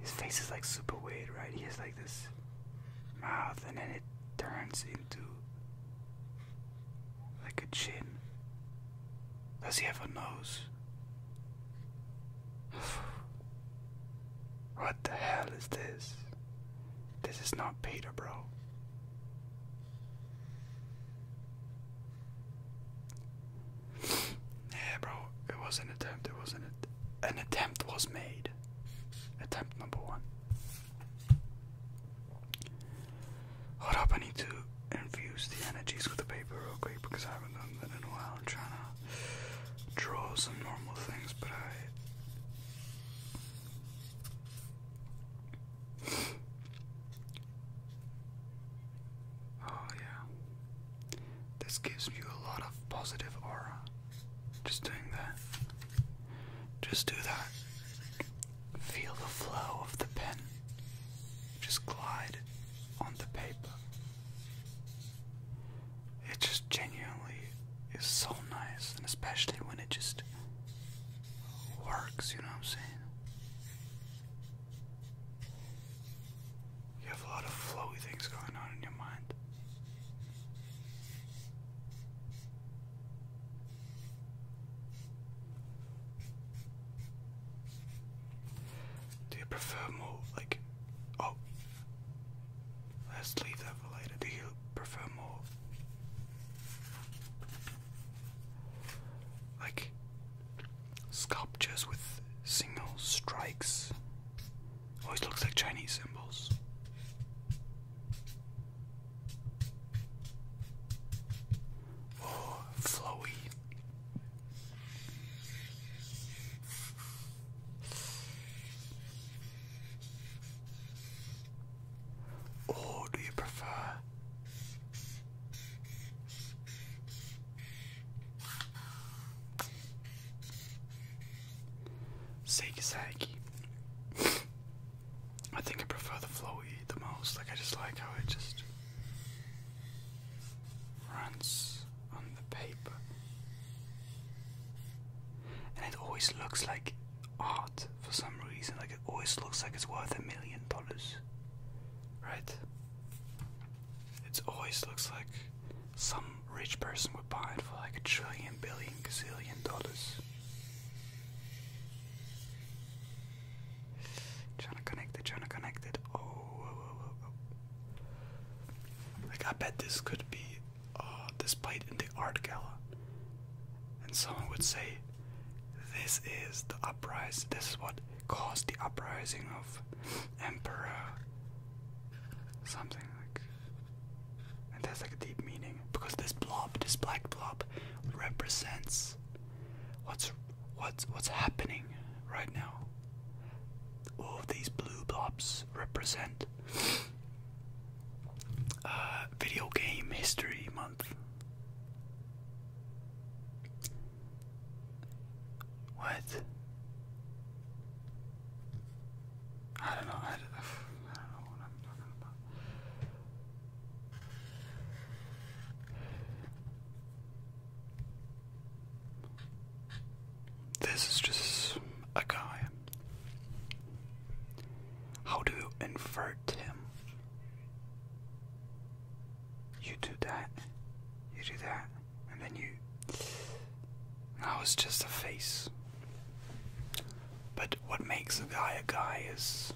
His face is like super weird, right? He has like this mouth and then it turns into like a chin. Does he have a nose? what the hell is this? This is not Peter, bro. Yeah, bro, it was an attempt, it was an, an attempt was made. Attempt number one. Hold up, I need to infuse the energies with the paper real quick because I haven't done that in a while. I'm trying to draw some normal things, but I Oh, yeah. This gives me a lot of positive aura. Just doing that. Just do that. Feel the flow of the pen. Just glide on the paper. It just genuinely is so nice, and especially when it just works, you know what I'm saying? You have a lot of flowy things going on in your mind. Do you prefer more like oh let's leave that for later. Do you prefer more like sculptures with single strikes. Always looks like Chinese symbols. Oh, flowy. Or do you prefer zigzaggy? I think I prefer the flowy the most. Like I just like how it just runs on the paper. And it always looks like art for some reason. Like it always looks like it's worth a million dollars, right? It always looks like some rich person would buy it for like a trillion, billion, gazillion dollars. Trying to connect it, trying to connect it. Oh, oh, oh, oh, Like I bet this could be uh, displayed in the art gala and someone would say, This is the uprising, this is what caused the uprising of Emperor something like and that's like a deep meaning because this blob, this black blob represents what's what's what's happening right now. All of these blue blobs represent uh, video Game History Month. What? I don't know. I don't know what I'm talking about. This is just a guy. How do you invert him? You do that, you do that, and then you. Now it's just a face. But what makes a guy a guy is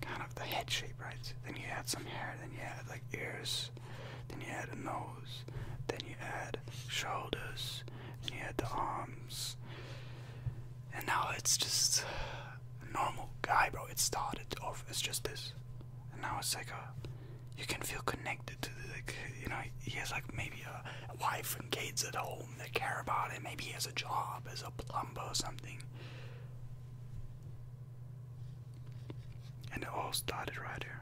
kind of the head shape, right? Then you add some hair, then you add like ears, then you add a nose, then you add shoulders, then you add the arms, and now it's just a normal guy, bro. It started off as just this, and now it's like a you can feel connected to the, you know he has like maybe a, a wife and kids at home that care about him. Maybe he has a job as a plumber or something. And it all started right here.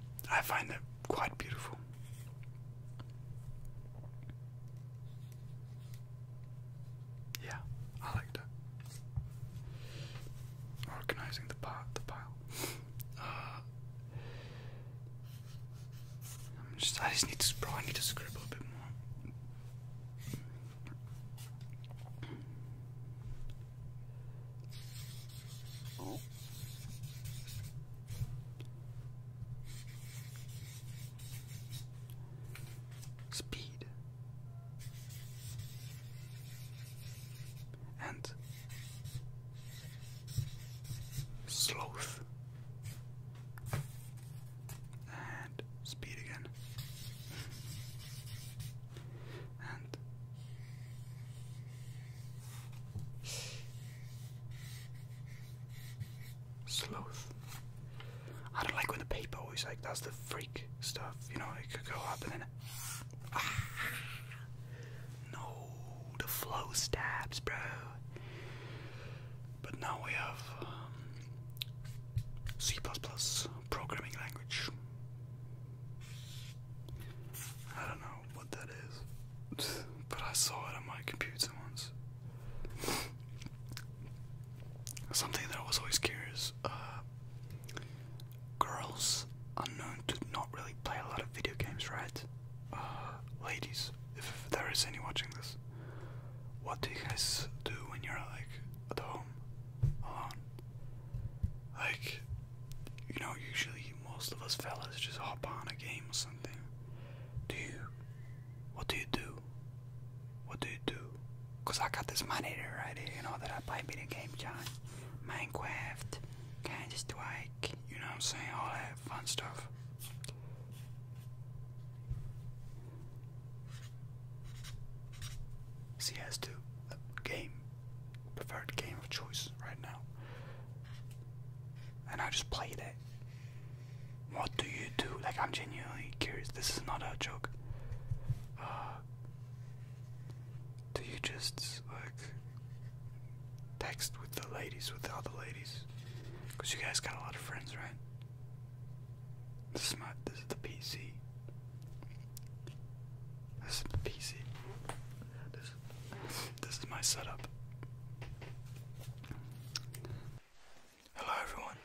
I find that quite beautiful. Yeah, I liked it. Organizing the pot, the pile. Uh, i just, need to, bro, I need to scribble a bit more. Oh. Speed and sloth and speed again and Sloth. I don't like when the paper always like that's the freak stuff, you know, it could go up and then ah, No, the flow stabs, bro. But now we have um, C++ programming language. I don't know what that is, but I saw it on my computer once. Something that I was always curious. Uh, girls are known to not really play a lot of video games, right? Uh, ladies, if there is any watching this, what do you guys do when you're like at home, alone? Like, you know, usually most of us fellas just hop on a game or something. Do you what do you do? What do you do? Cause I got this money to ride here, you know, that I play video games John, Minecraft, Counter Strike, you know what I'm saying, all that fun stuff. CS2, uh, game, preferred game of choice right now. And I just played it. What do you do? Like, I'm genuinely curious. This is not a joke. Uh, do you just, like, text with the ladies, with the other ladies? Because you guys got a lot of friends, right? This is my, this is the PC. This is the PC. this is my setup. Hello everyone,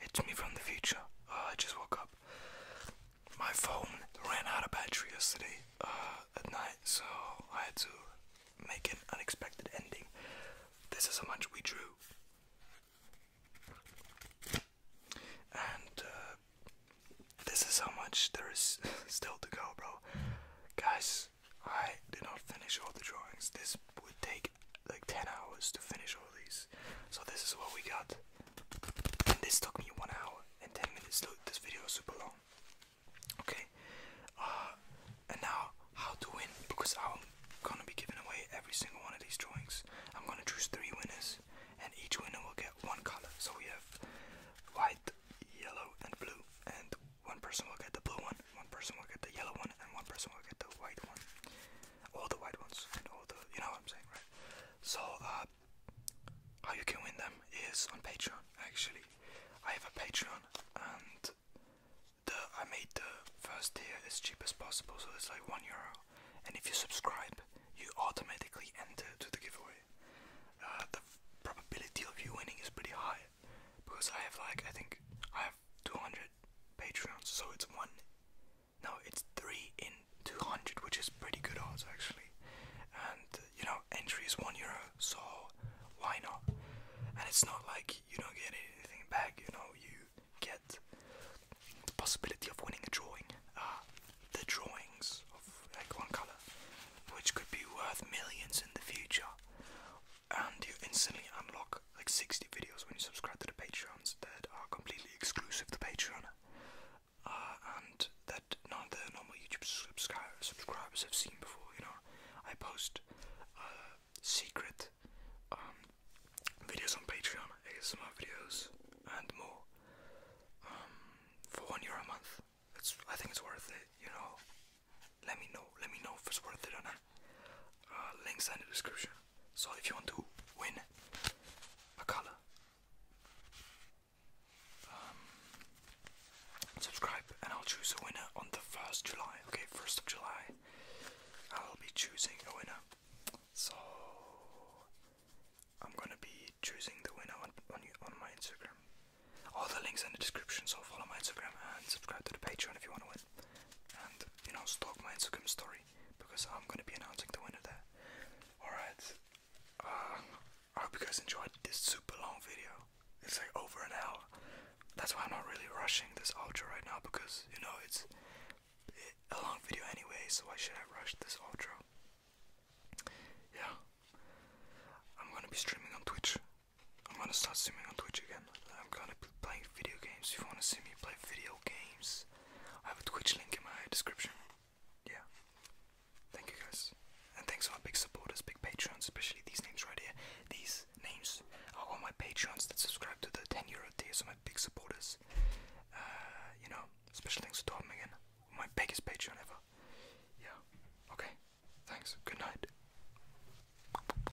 it's me from the future. Uh, I just woke up. My phone ran out of battery yesterday uh, at night, so I had to make an unexpected ending. This is how much we drew. And uh, this is how much there is still to go, bro. Guys, I did not finish all the drawings. This would take like 10 hours to finish all these. So this is what we got. this took me 1 hour and 10 minutes. Look, this video is super long. Okay. Uh, and now, how to win. Because I'm gonna be giving away every single one of these drawings. I'm gonna choose 3 winners. And each winner will get one color. So we have white, yellow and blue. And one person will get the blue one, one person will get the yellow one, and one person will get the white one. All the white ones and all the you know what I'm saying, right? So uh how you can win them is on Patreon actually. I have a Patreon and the I made the first tier as cheap as possible, so it's like one euro. And if you subscribe, you automatically enter to the giveaway. Uh, the probability of you winning is pretty high because I have like I think I have 200 Patreons, so it's one. No, it's three in 200, which is pretty good odds actually. And uh, you know, entry is one euro, so why not? And it's not like you don't get anything back. You know, you get the possibility of winning a drawing. Uh, the drawings of like one color, which could be worth millions in the future, and you instantly unlock like 60 videos when you subscribe to the Patreons that are completely exclusive to Patreon, uh, and that not the normal YouTube subscri subscribers have seen before. You know, I post uh, secret um, videos on Patreon, ASMR videos, and more um, for one euro a month. It's I think it's worth it. You know, let me know let me know if it's worth it or not uh, links in the description so if you want to win a color um, subscribe and I'll choose a winner on the 1st July okay 1st of July I'll be choosing a winner so I'm gonna be choosing the winner on, on, on my Instagram all the links in the description so follow my Instagram and subscribe to the Patreon if you want to win and you know stalk my Instagram story because I'm gonna be announcing the winner there. Alright. Uh, I hope you guys enjoyed this super long video. It's like over an hour. That's why I'm not really rushing this outro right now because you know it's a long video anyway, so why should I rush this outro? Yeah. I'm gonna be streaming on Twitch I'm gonna start streaming on Twitch again. I'm gonna be playing video games. If you wanna see me play video games, I have a Twitch link in my description. Yeah. Thank you guys. And thanks to our big supporters, big patrons, especially these names right here. These names are all my patrons that subscribe to the 10 euro tier, so my big supporters. Uh, you know, special thanks to Tom again. My biggest patron ever. Yeah. Okay. Thanks. Good night.